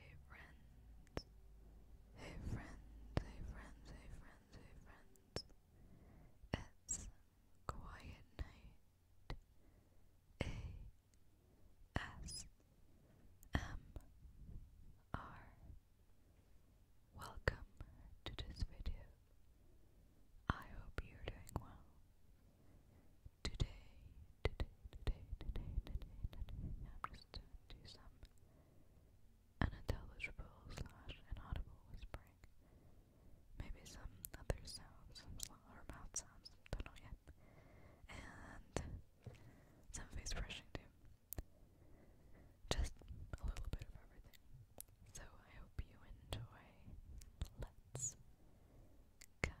Hey friends, hey friends, hey friends, hey friends, hey friends. It's Quiet Night A S M R Welcome to this video. I hope you're doing well. Today, today, today, today, today, today, I'm just going some unintelligible slash inaudible whispering. Maybe some other sounds, some or mouth sounds, don't yet. And some face brushing too just a little bit of everything. So I hope you enjoy. Let's get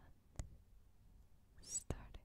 started.